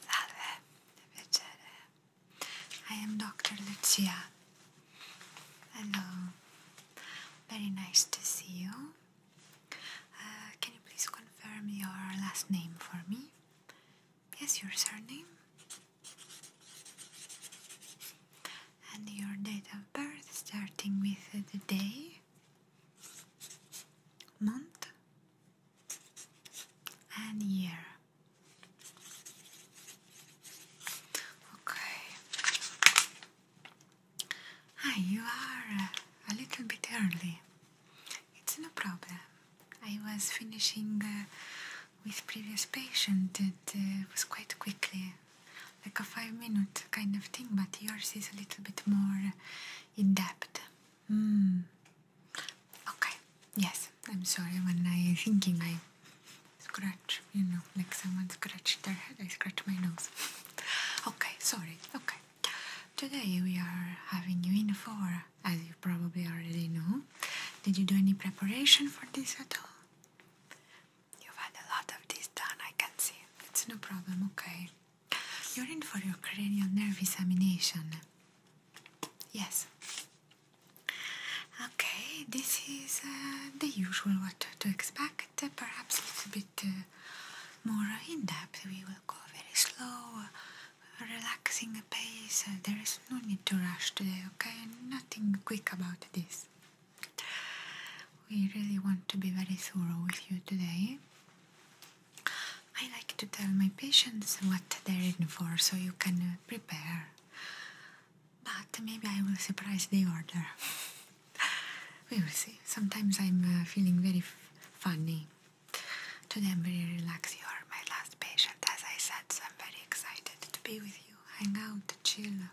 Salve, piacere. I am Dr. Lucia. Hello. Very nice to see you. Uh, can you please confirm your last name for me? Yes, your surname. And your date of birth starting with the day, month, and year. Okay. Hi, ah, you are uh, a little bit early. It's no problem. I was finishing uh, with previous patient. Uh, it was quite quickly, like a five minute kind of thing, but yours is a little bit more in depth. Mm. Okay. Yes. I'm sorry when I thinking I scratch, you know, like someone scratched their head, I scratch my nose. okay, sorry. Okay. Today we are having you in for, as you probably already know. Did you do any preparation for this at all? You've had a lot of this done, I can see. It's no problem, okay. You're in for your cranial nerve examination. Yes. Okay, this is uh, the usual what to expect, perhaps a little bit uh, more in depth. We will go very slow, relaxing pace. There is no need to rush today, okay? Nothing quick about this. We really want to be very thorough with you today. I like to tell my patients what they're in for so you can uh, prepare. But maybe I will surprise the order. we will see. Sometimes I'm uh, feeling very funny. Today I'm very relaxed. You are my last patient, as I said, so I'm very excited to be with you. Hang out, chill.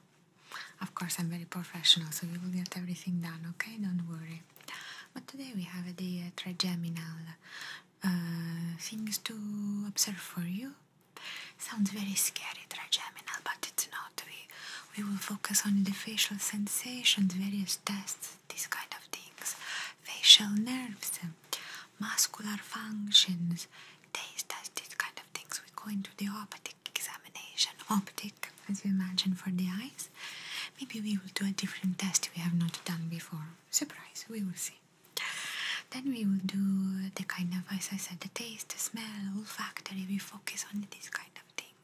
Of course, I'm very professional, so we will get everything done, okay? Don't worry but today we have the uh, trigeminal things to observe for you sounds very scary trigeminal but it's not we we will focus on the facial sensations various tests these kind of things facial nerves muscular functions taste test these kind of things we go into the optic examination optic as you imagine for the eyes. Maybe we will do a different test we have not done before. Surprise, we will see. Then we will do the kind of, as I said, the taste, the smell, olfactory, we focus on this kind of thing.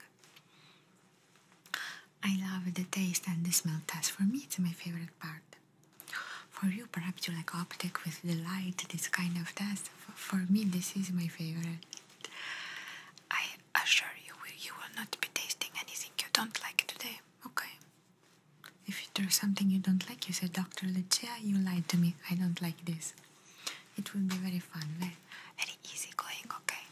I love the taste and the smell test. For me, it's my favorite part. For you, perhaps you like optic with the light, this kind of test. For me, this is my favorite. I assure you, you will not be tasting anything you don't like today, okay? If you there's something you don't like, you said, Dr. Lucia, you lied to me. I don't like this. It will be very fun, very, very easy okay?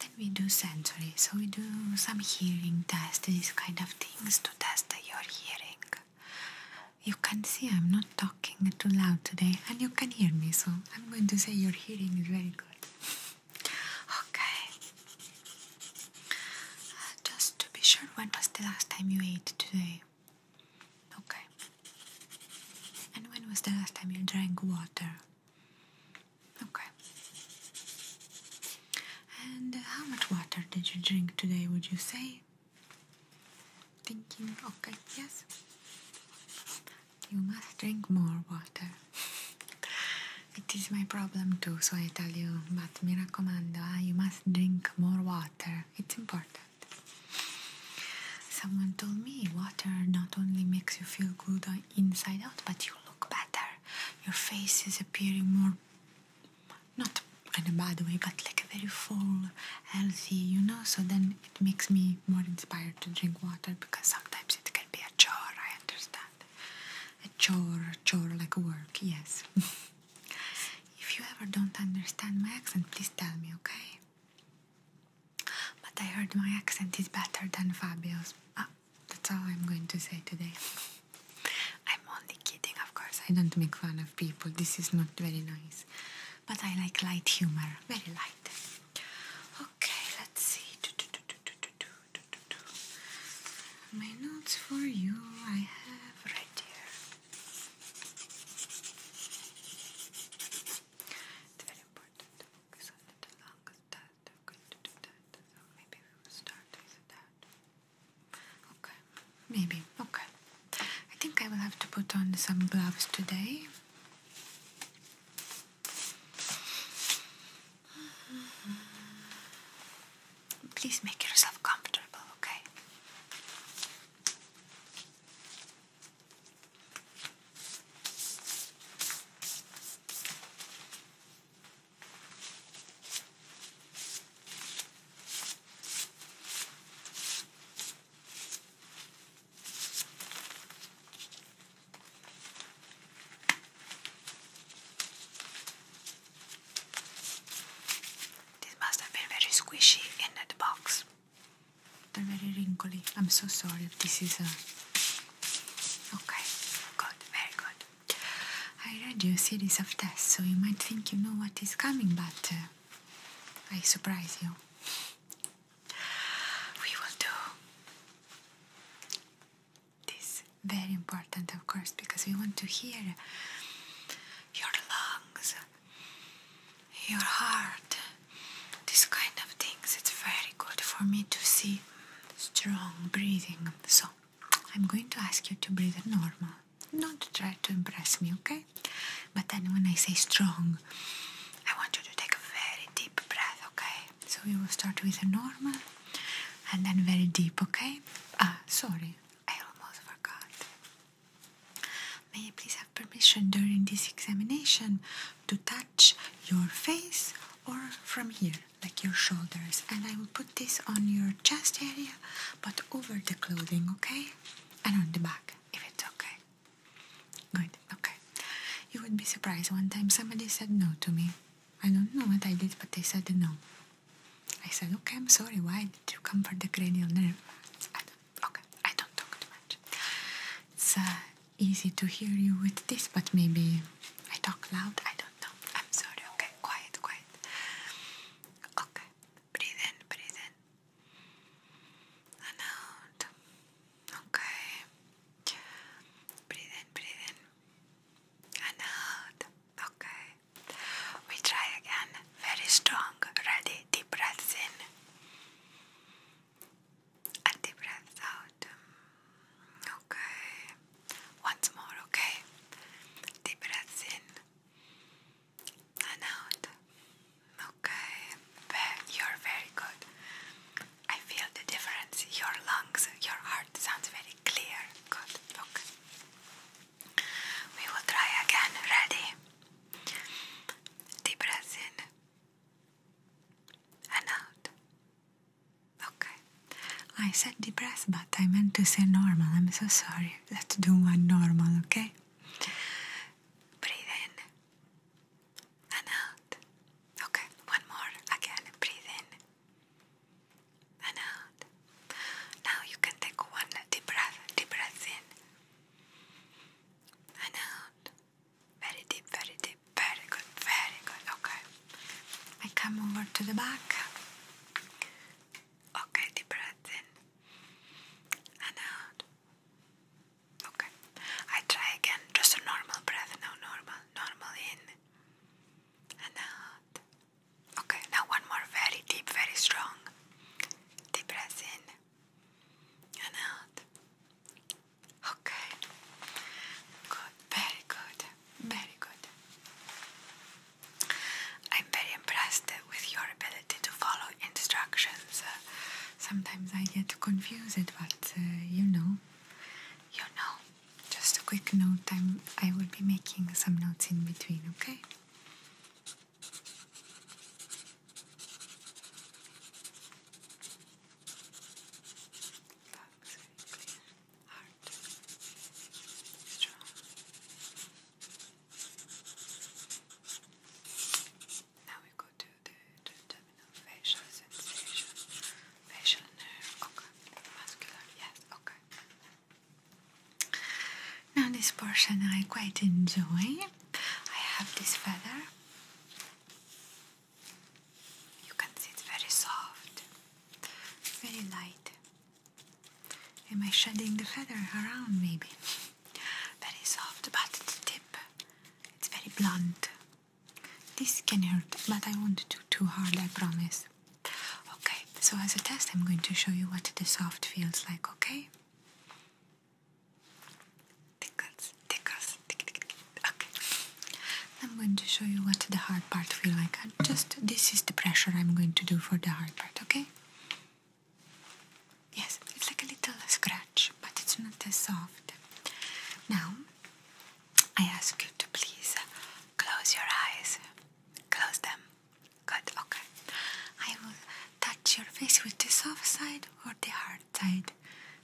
Then we do sensory. So we do some hearing tests, these kind of things to test your hearing. You can see I'm not talking too loud today, and you can hear me, so I'm going to say your hearing is very good. Okay. Uh, just to be sure, when was the last time you ate today? Okay. And when was the last time you drank water? Okay. And how much water did you drink today, would you say? Thinking, okay, yes. You must drink more water. It is my problem too, so I tell you, but mi raccomando, ah, you must drink more water. It's important. Someone told me water not only makes you feel good inside out, but you look better. Your face is appearing more, not in a bad way, but like a very full, healthy, you know. So then it makes me more inspired to drink water because sometimes it can be a chore, I understand. A chore, chore like work, yes. if you ever don't understand my accent, please tell me, okay? But I heard my accent is better than Fabio's. Ah, that's all I'm going to say today. I'm only kidding, of course. I don't make fun of people. This is not very nice. But I like light humor, very light. Okay, let's see. My notes for you I have right here. It's very important to I'm going to do that. maybe we will start with that. Okay, maybe. Okay. I think I will have to put on some gloves today. Please make yourself comfortable, okay? This must have been very squishy in the box. They're very wrinkly. I'm so sorry this is a. Okay, good, very good. I read you a series of tests, so you might think you know what is coming, but uh, I surprise you we will do this very important of course because we want to hear your lungs your heart this kind of things it's very good for me to see strong breathing so i'm going to ask you to breathe normal not try to impress me okay but then when i say strong I want you to take a very deep breath, okay? So we will start with a normal and then very deep, okay? Ah, sorry, I almost forgot. May I please have permission during this examination to touch your face or from here, like your shoulders? And I will put this on your chest area, but over the clothing, okay? And on the back, if it's okay. Good, okay. You would be surprised. One time somebody said no to me. I don't know what I did, but they said no. I said, okay, I'm sorry. Why did you come for the cranial nerve? I don't, okay, I don't talk too much. It's uh, easy to hear you with this, but maybe I talk loud. I don't know. I'm sorry. Okay, quiet, quiet. Okay, breathe in, breathe in. out. Okay. Breathe in, breathe in. And out. Okay. We try again. Very strong. Ready? Deep breaths in. And deep breaths out. Okay. Once more, okay? Deep breaths in. And out. Okay, you're very good. I feel the difference. Your lungs, your heart sounds very clear. Good, okay. We will try again. Ready? Deep breath in and out. Okay. I said deep breath, but I meant to say normal. I'm so sorry. Let's do one normal, okay? Breathe and out. Okay, one more. Again, breathe in and out. Now you can take one deep breath, deep breath in and out. Very deep, very deep, very good, very good. Okay, I come over to the back. Okay, deep breath in and out. Okay. I try again. Just a normal breath. No, normal. Normal in and out. Okay. Now one more. Very deep, very strong. Deep breath in and out. Okay. Good. Very good. Very good. I'm very impressed with your ability to follow instructions sometimes I get confused, but uh, you know, you know. Just a quick note, I'm, I will be making some notes in between, okay? Now we go to the, the facial sensation. Facial nerve, okay. Muscular, yes, okay. Now this portion I quite enjoy. I have this feather. You can see it's very soft, very light. Am I shedding the feather around maybe? Very soft, but the tip it's very blunt. This can hurt, but I won't do too hard, I promise. Okay, so as a test, I'm going to show you what the soft feels like, okay? Tickles, tickles, tick, tick, tick. Okay. I'm going to show you what the hard part feels like. Just this is the pressure I'm going to do for the hard part, okay? Yes, it's like a little scratch, but it's not as soft. Now, I ask you to please close your eyes. Close them. Good, okay. I will touch your face with the soft side or the hard side.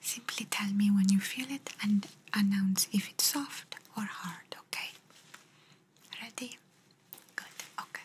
Simply tell me when you feel it and announce if it's soft or hard, okay? Ready? Good, okay.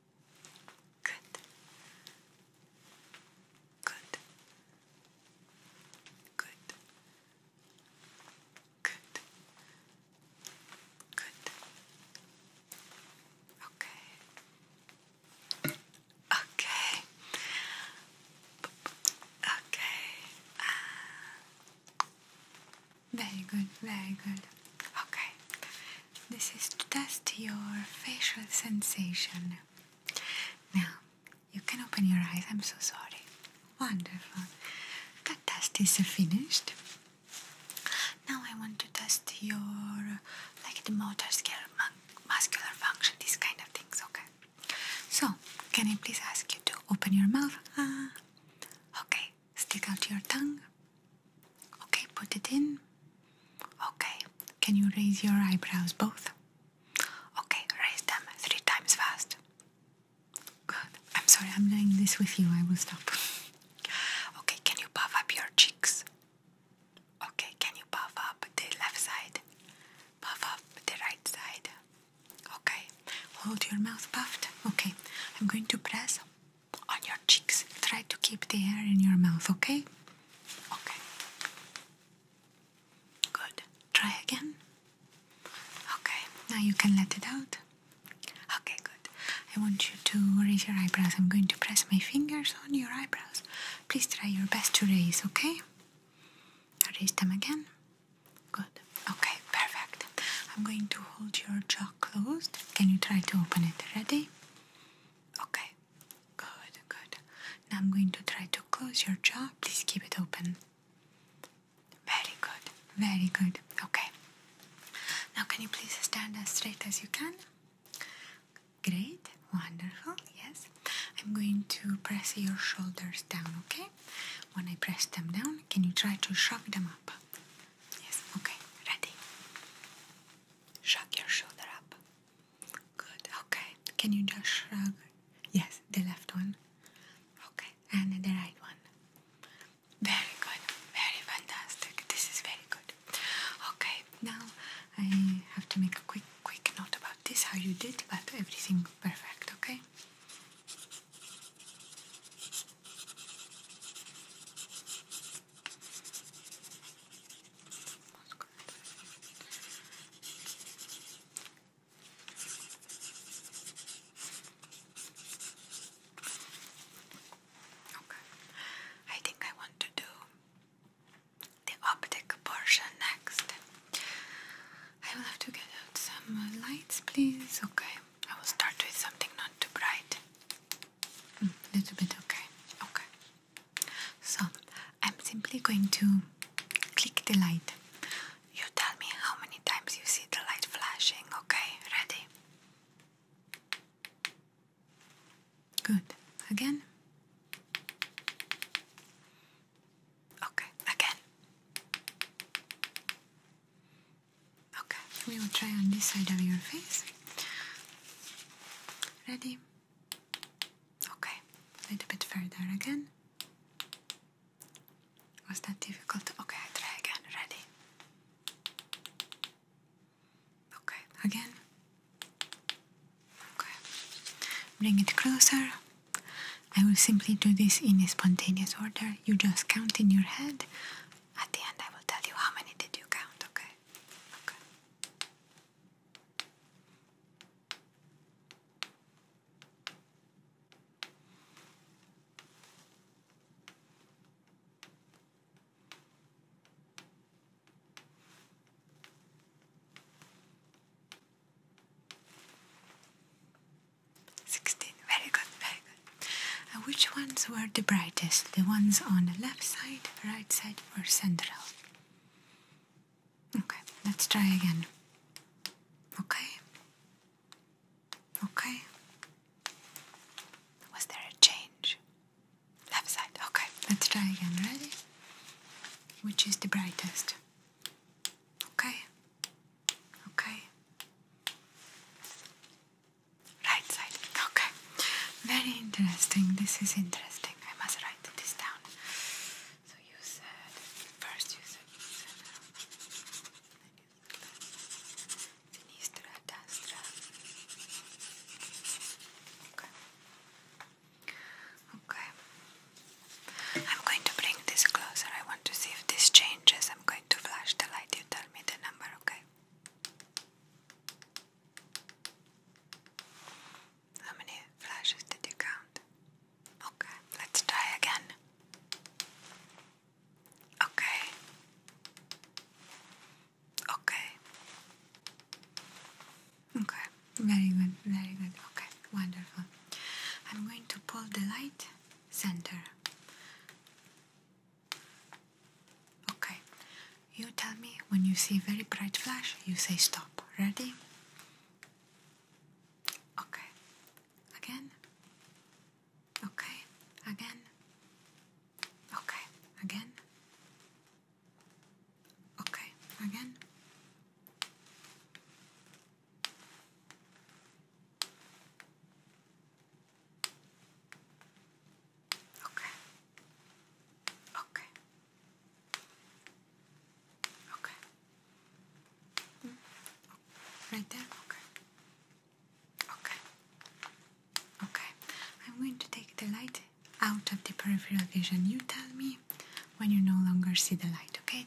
Good. Good. Good. Good. Good. Okay. Okay. Okay. Ah. very good, very good. Okay. This is to test your facial sensation. Now, you can open your eyes. I'm so sorry. Wonderful. The test is finished. Now I want to test your, like the motor skill, muscular function, these kind of things, okay? So, can I please ask you to open your mouth? Uh, okay, Stick out your tongue. Okay, put it in. Okay, can you raise your eyebrows both? Okay, raise them three times fast. Good. I'm sorry, I'm doing this with you. I will stop. Okay, can you puff up your cheeks? Okay, can you puff up the left side? Puff up the right side. Okay, hold your mouth puffed. Okay, I'm going to press on your cheeks. Try to keep the air in your mouth, okay? Okay. Good. Try again. Okay, now you can let it out. Okay, good. I want you to raise your eyebrows. I'm going to press my fingers on your eyebrows. Please try your best to raise, okay? Raise them again. Good. Okay, perfect. I'm going to hold your jaw closed. Can you try to open it? Ready? Okay, good, good. Now I'm going to try to close your jaw. Please keep it open. Very good, very good. Okay. Now, can you please stand as straight as you can? Great, wonderful, yes. I'm going to press your shoulders down, okay? When I press them down, can you try to shrug them up? Yes, okay, ready. Shrug your shoulder up. Good, okay. Can you just shrug? Yes, the left one. Okay, and the right one. Very good, very fantastic. This is very good. Okay, now I have to make a quick, quick note about this, how you did, but everything perfect, okay? Okay. I think I want to do the optic portion next. I will have to get out some lights, please. Okay. I will start with something not too bright. Mm, little bit okay. Okay. So I'm simply going to click the light. You tell me how many times you see the light flashing, okay? Ready? Good. Again? Okay, again. Okay, we will try on this side of your face. Ready? Okay, a little bit further again. Was that difficult? Okay, I try again. Ready? Okay, again. Okay, bring it closer. I will simply do this in a spontaneous order. You just count in your head at the end, I will tell you how many did you count, okay? Okay. Sixteen. Very good, very good. Uh, which ones were the brightest? The ones on the left side, right side, or central? Okay, let's try again. Okay. Okay. Was there a change? Left side. Okay, let's try again. Ready? Which is the brightest? Okay. Okay. Right side. Okay. Very interesting. This is interesting. I must write this down. So you said first you said uh, sinistra destra. Okay. Okay. I'm going to bring this closer. I want to see if this changes. I'm going to flash the light. You tell me the number, okay? How many flashes did you count? Okay, let's try again. Okay. Okay. Okay, very good, very good. Okay, wonderful. I'm going to pull the light center Okay, you tell me when you see very bright flash, you say stop. Ready? Okay, again. Okay, again. Okay, again. Okay, again. Okay. Okay. Okay. Mm. Right there? Okay. Okay. Okay. I'm going to take the light out of the peripheral vision. You tell me when you no longer see the light, okay?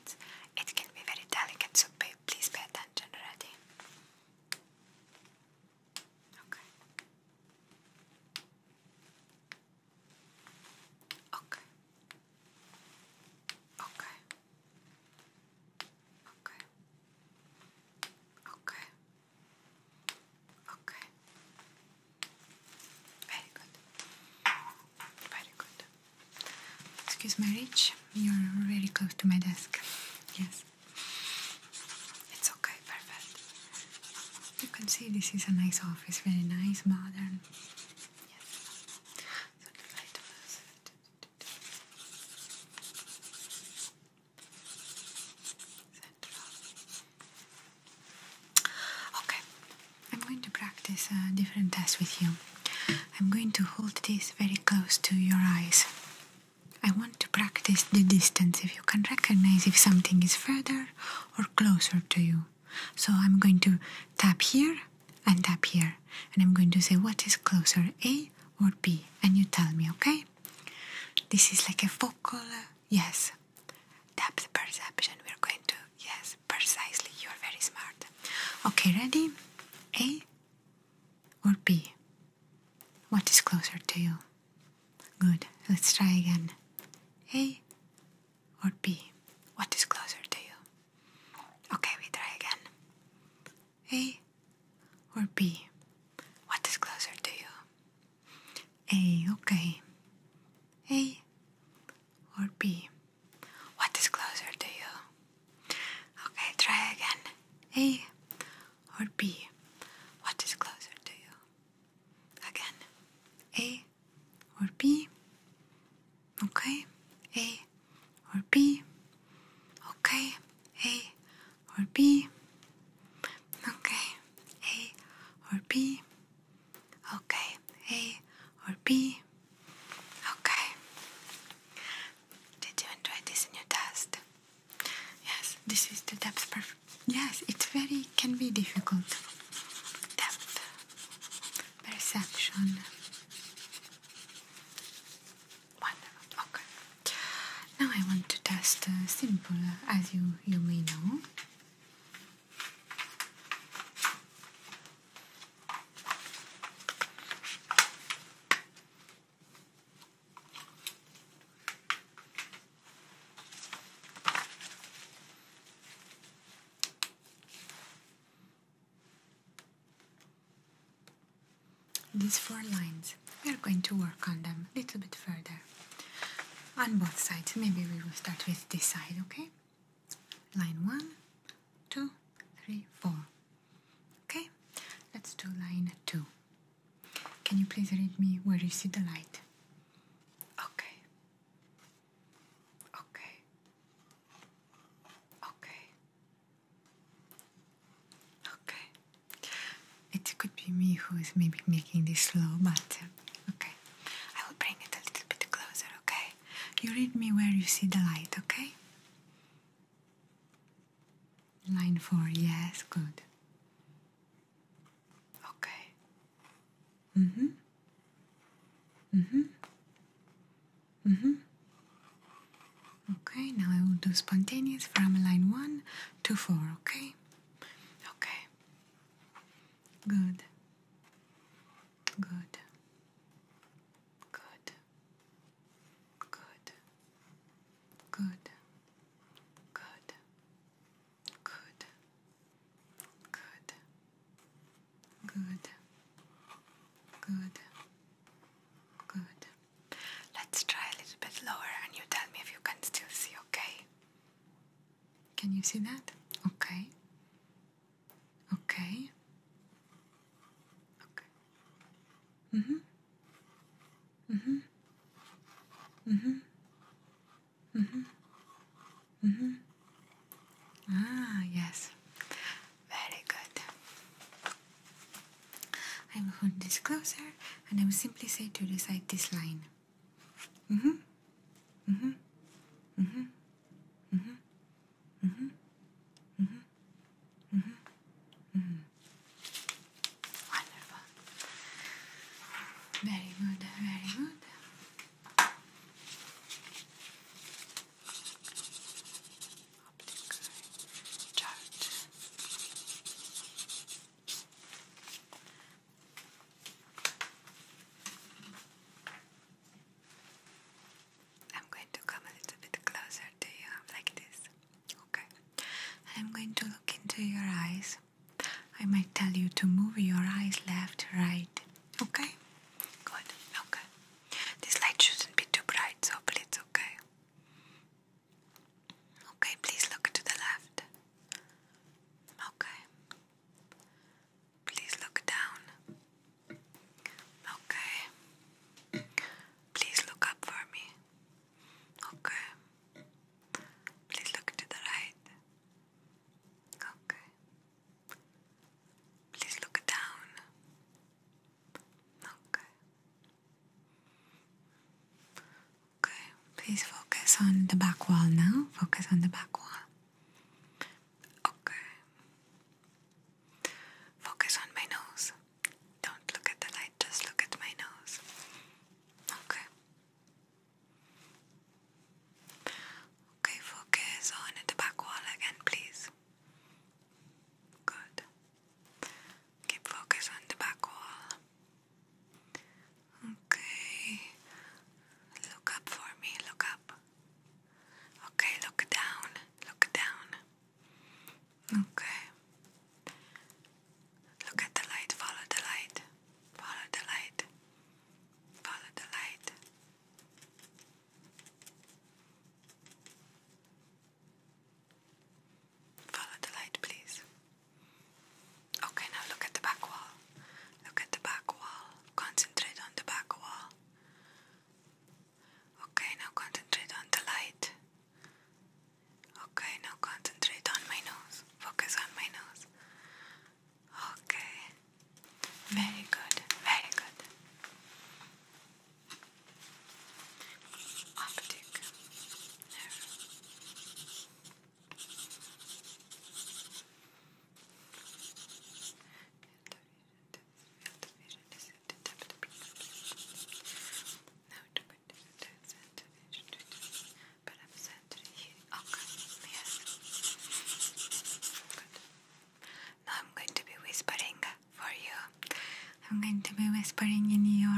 it can be very delicate, so please pay attention already. Okay. Okay. Okay. Okay. Okay. Okay. Very good. Very good. Excuse my reach. You're very close to my desk. Yes. It's okay, perfect. You can see this is a nice office, very nice, modern. Yes. So the Okay, I'm going to practice a different test with you. I'm going to hold this very close to your eyes. I want to practice the distance if you can recognize if something is further or closer to you. So I'm going to tap here and tap here, and I'm going to say what is closer, A or B, and you tell me, okay? This is like a focal. Yes, yes, the perception. We're going to, yes, precisely. You're very smart. Okay, ready? A or B. What is closer to you? Good, let's try again. A or B? What is closer to you? Okay, we try again. A or B? What is closer to you? A, okay. A or B? What is closer to you? Okay, try again. A or B? What is closer to you? Again, A or B? Okay, A or B? Okay, A or B? Okay, A or B? Okay, A or B? Okay. Did you enjoy this new test? Yes, this is the depth perfect. Yes, it's very can be difficult. Depth perception. Wonderful. Okay. Now I want to test uh, simple, as you you may know. These four lines, we are going to work on them a little bit further on both sides. Maybe we will start with this side, okay? Line 1, two, three, four. Okay, let's do line two. Can you please read me where you see the light? Okay. Okay. Okay. Okay. It could be me who is maybe making this slow, but uh, okay. I will bring it a little bit closer, okay? You read me where you see the light, okay? Line four, yes, good. Okay. Mm-hmm. Mm-hmm. Mm-hmm. Okay, now I will do spontaneous from line one to four, okay? Okay. Good. Good. Good. Good. Good. Good. Good. Good. Good. Good. Good. Let's try a little bit lower and you tell me if you can still see, okay? Can you see that? Okay. Okay. Okay. Mm-hmm. Mm-hmm. Mm-hmm. Mm-hmm. Mm-hmm. Ah, yes. Very good. I will hold this closer and I will simply say to recite this line. Mm-hmm. Mm-hmm. Mm-hmm. Mm-hmm. Mm-hmm. Mm-hmm. Mm-hmm. Mm-hmm. Wonderful. Very good, very good. Optic chart. I'm going to come a little bit closer to you, like this. Okay. And I'm going to look into your eyes. I might tell you to move your eyes left, right. Okay? Good. Okay. This light shouldn't be too bright, so hopefully it's okay. Okay, please look to the left. Okay. Please look down. Okay. Please look up for me. Okay. Please look to the right. Okay. Please look down. Okay. Okay. Please focus on the back wall now. Focus on the back wall. Okay. Focus on my nose. Don't look at the light, just look at my nose. Okay. Okay, focus on the back wall again, please. Good. Keep focus on the back wall. Okay. Look up for me, look up. Okay, look down, look down. Okay. Look at the light, follow the light, follow the light, follow the light. Follow the light, please. Okay, now look at the back wall. Look at the back wall. Concentrate on the back wall. Okay, now concentrate on the light. Okay, now concentrate on my nose. Focus on my nose. Okay. Very good. Very good. Optic nerve. Now I'm going to be whispering for you. I'm going to be whispering in your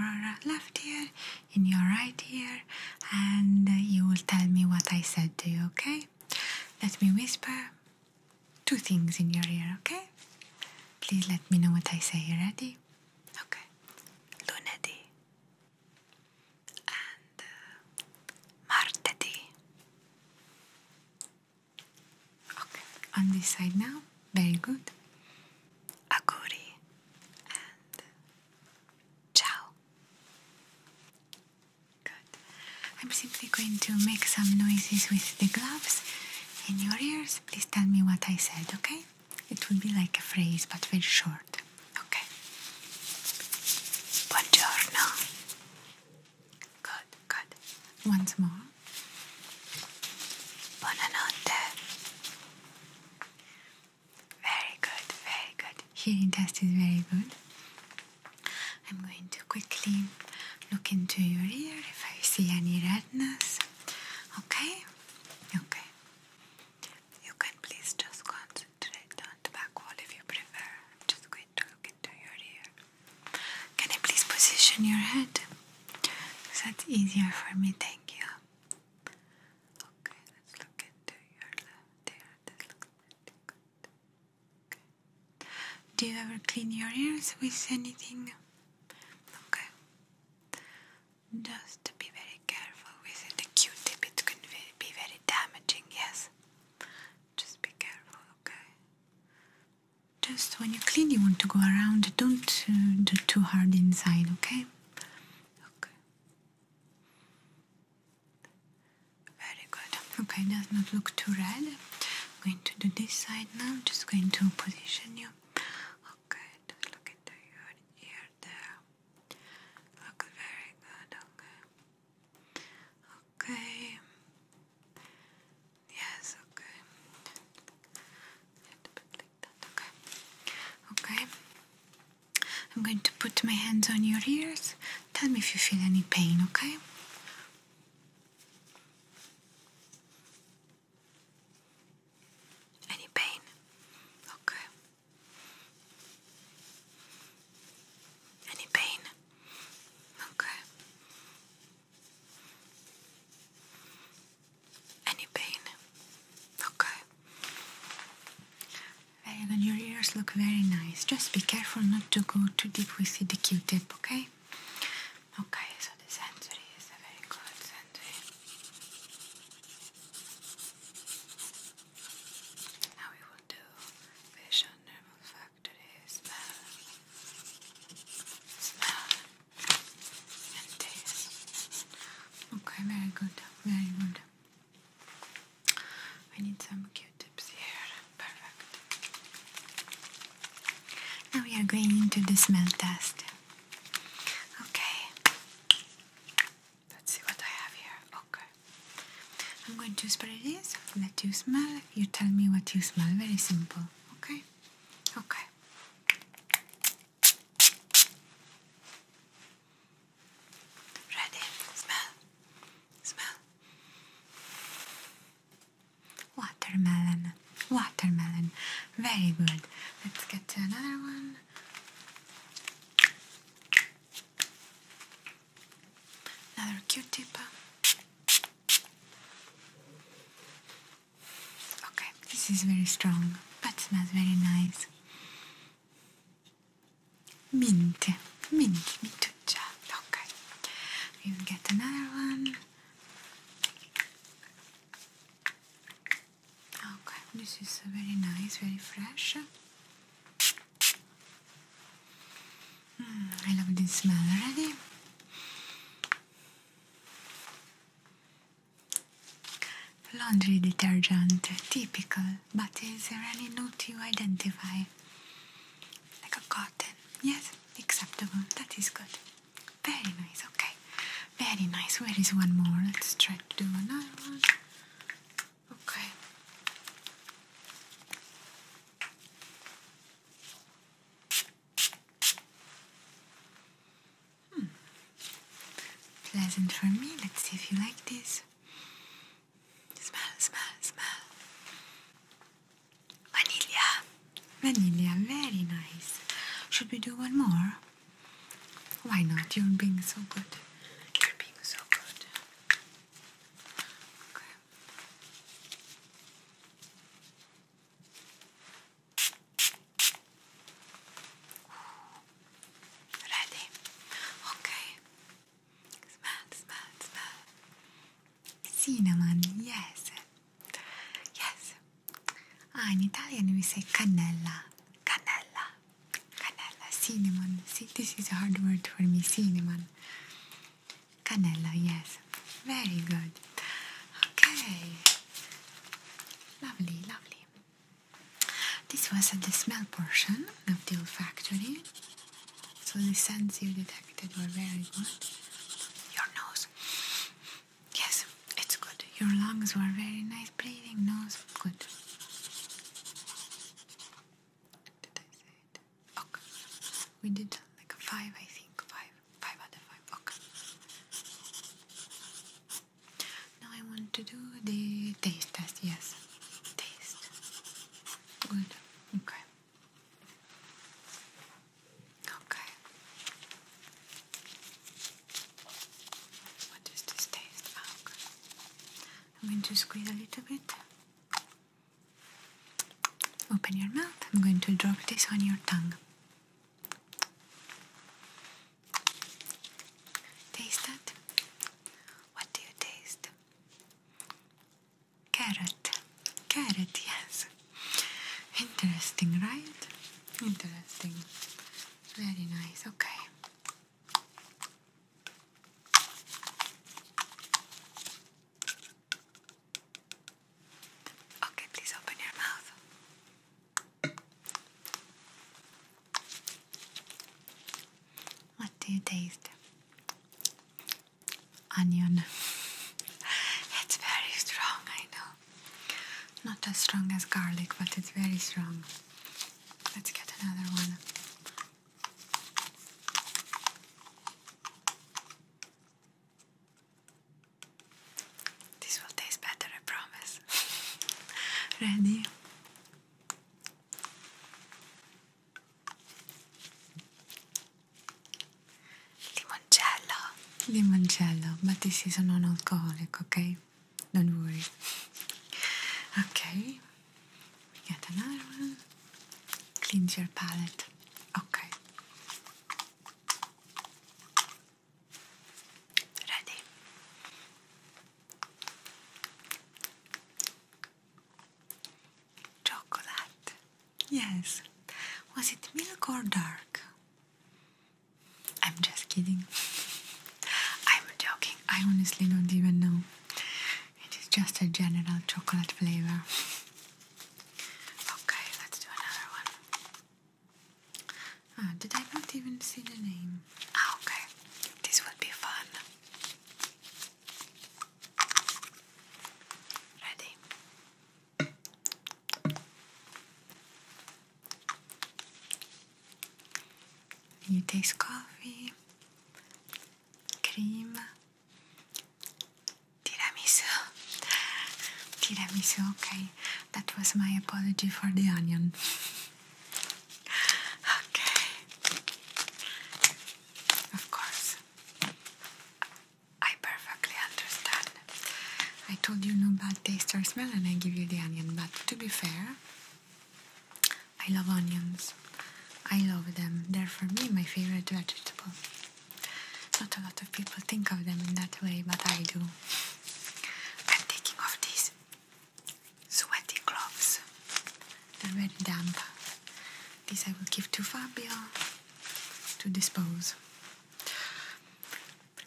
left ear, in your right ear, and you will tell me what I said to you, okay? Let me whisper two things in your ear, okay? Please let me know what I say. You ready? Okay. Lunedi and uh, martedi. Okay. On this side now. Very good. Aguri and ciao. Good. I'm simply going to make some noises with the gloves in your ears. Please tell me what I said, okay? It will be like a phrase but very short. Okay. Buongiorno. Good, good. Once more. Buonanotte. Very good, very good. Hearing test is very good. I'm going to quickly look into your ear if I see any redness. Okay? Okay. You can please just concentrate on the back wall if you prefer. I'm just going to look into your ear. Can I please position your head? That's easier for me, thank you. Okay, let's look into your left ear. This looks pretty good. Okay. Do you ever clean your ears with anything? Okay. Just be very careful with The Q-tip it can be very damaging, yes? Just be careful, okay? Just when you clean, you want to go around. Don't uh, do too hard inside, okay? Okay. Very good. Okay, does not look too red. I'm going to do this side now. I'm just going to position you. Okay, look into your ear there. Look very good, okay. Okay. Yes, okay. A bit like that, okay. Okay. I'm going to put my hands on your ears. Tell me if you feel any pain, okay? Any pain? Okay. Any pain? Okay. Any pain? Okay. Well, your ears look very nice. Just be careful not to go too deep with the Q-tip, okay? Okay, so the sensory is very good sensory. Now we will do vision, nerve factory, smell, smell, and taste. Okay, very good, very good. We need some Perfect. Now we are going into the smell test. Okay. Let's see what I have here. Okay. I'm going to spray this, let you smell. You tell me what you smell. Very simple. Okay? Okay. Ready? Smell. Smell. Watermelon, watermelon. Very good. Let's get to another one. Another Q-tip. Okay, this is very strong, but smells very nice. Mint, mint, mint job. Okay. You get another one. Okay, this is very nice, very fresh. Mm, I love this smell already. Laundry detergent, typical, but is there any note you identify? like a cotton. Yes, acceptable. That is good. Very nice. Okay. Very nice. Where is one more? Let's try to do another one. Okay. Hmm. Pleasant for me. Let's see if you like this. Smell, smell, smell. Vanilla. Vanilla, very nice. Should we do one more? Why not? You're being so good. You're being so good. Ready? Okay. Smell, smell, smell. Cinnamon, yes. Yes. Ah, in Italian we say cannella. Cannella. Cannella. Cinnamon. this is a hard word for me. Cinnamon. Cannella, yes. Very good. Okay. Lovely, lovely. This was the smell portion of the olfactory. So the scents you detected were very good. Your nose. Yes, it's good. Your lungs were very nice. Breathing, nose, good. Did I say it? Okay. We did like a five, I think. Five. Five out of five. Okay. Now I want to do the taste test. Yes. Taste. Good. Okay. Okay. What does this taste like? Ah, I'm going to squeeze a little bit. Open your mouth. I'm going to drop this on your tongue. Taste that? What do you taste? Carrot. Carrot, yes. Interesting, right? Interesting. Very nice, okay. Okay, please open your mouth. What do you taste? onion. It's very strong, I know. Not as strong as garlic, but it's very strong. Let's get another one. This will taste better, I promise. Ready? Limoncello. Limoncello, ma ti sì, sono un alcolico, ok? Don't worry. Ok. We get another one. Cleanse your palate. Ok. Ready. Chocolate. Yes. Was it milk or dark? I'm just kidding. I'm joking. I honestly don't even know. It is just a general chocolate flavor. Okay, let's do another one. Ah, did I not even see the name? Ah, okay. This would be fun. Ready? You taste coffee, cream, tiramisu. Tiramisu, okay. That was my apology for the onion. okay. Of course. I perfectly understand. I told you no bad taste or smell and I give you the onion, but to be fair, I love onions. I love them. They're for me my favorite vegetable. Not a lot of people think of them in that way, but I do. I'm taking off these sweaty gloves. The red damp. This I will give to Fabio to dispose.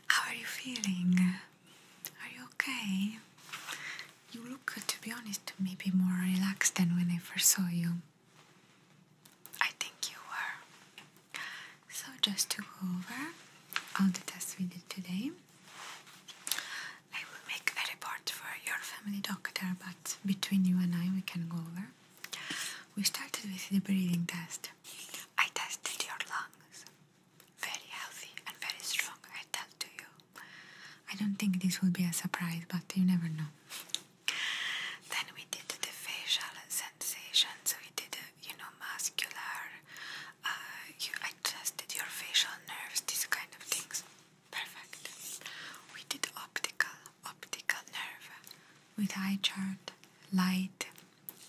How are you feeling? Are you okay? You look, to be honest, maybe more relaxed than when I first saw you. I think you were. So, just to go over all the tests we did today, I will make a report for your family doctor, between you and I we can go over. We started with the breathing test. I tested your lungs. Very healthy and very strong, I tell to you. I don't think this will be a surprise, but you never know. Then we did the facial sensations. We did, the, uh, you know, muscular. Uh, you, I tested your facial nerves, these kind of things. Perfect. We did optical, optical nerve with eye chart, light,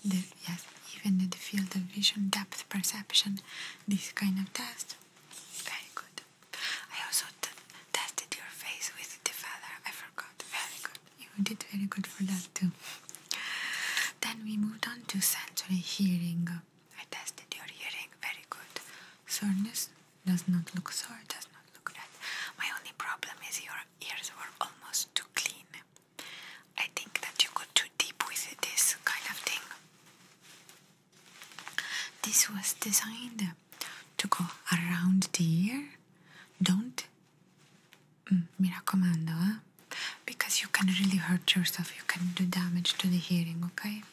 the, yes, even the field of vision, depth perception, this kind of test. Very good. I also tested your face with the feather. I forgot. Very good. You did very good for that too. Then we moved on to sensory hearing. I tested your hearing. Very good. Soreness does not look sore. Does not look red. My only problem is your ears were almost too clean. I think that you go too deep with this kind of thing. This was designed to go around the ear. Don't mm, mira commando, ah. because you can really hurt yourself. You can do damage to the hearing. Okay.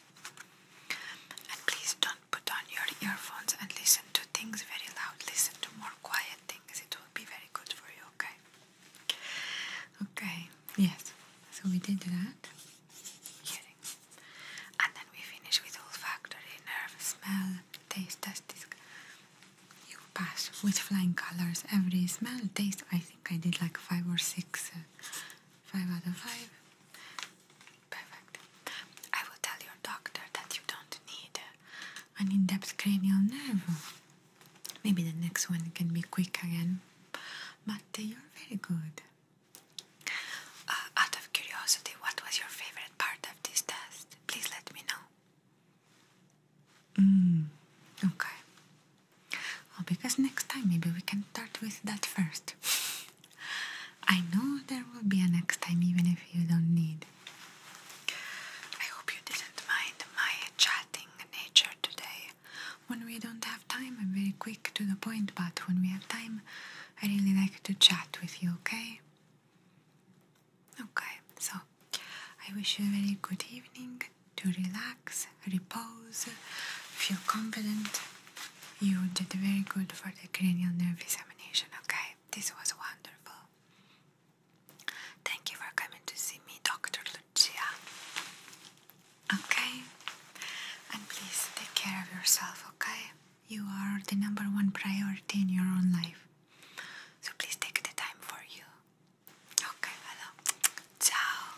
And please don't put on your earphones and listen to things very loud. Listen to more quiet things. It will be very good for you, okay? Okay, yes. So we did that. Hearing. And then we finish with olfactory, nerve, smell, taste, test. You pass with flying colors every smell, taste. I think I did like five or six, uh, five out of five. Perfect. I will tell your doctor that you don't need an in-depth cranial nerve. Maybe the next one can be quick again. But uh, you're very good. Uh, out of curiosity, what was your favorite part of this test? Please let me know. Mm, okay. Well, because next time maybe we can start with that first. I know there will be a next time, even if you don't need. I hope you didn't mind my chatting nature today. When we don't have time, I'm very quick to the point, but when we have time, I really like to chat with you, okay? Okay, so I wish you a very good evening to relax repose, feel confident. You did very good for the cranial nerve examination, okay? This was wonderful. Thank you for coming to see me, Dr. Lucia. Okay? And please take care of yourself, okay? You are the number one priority in your own life. So please take the time for you. Okay, Ciao.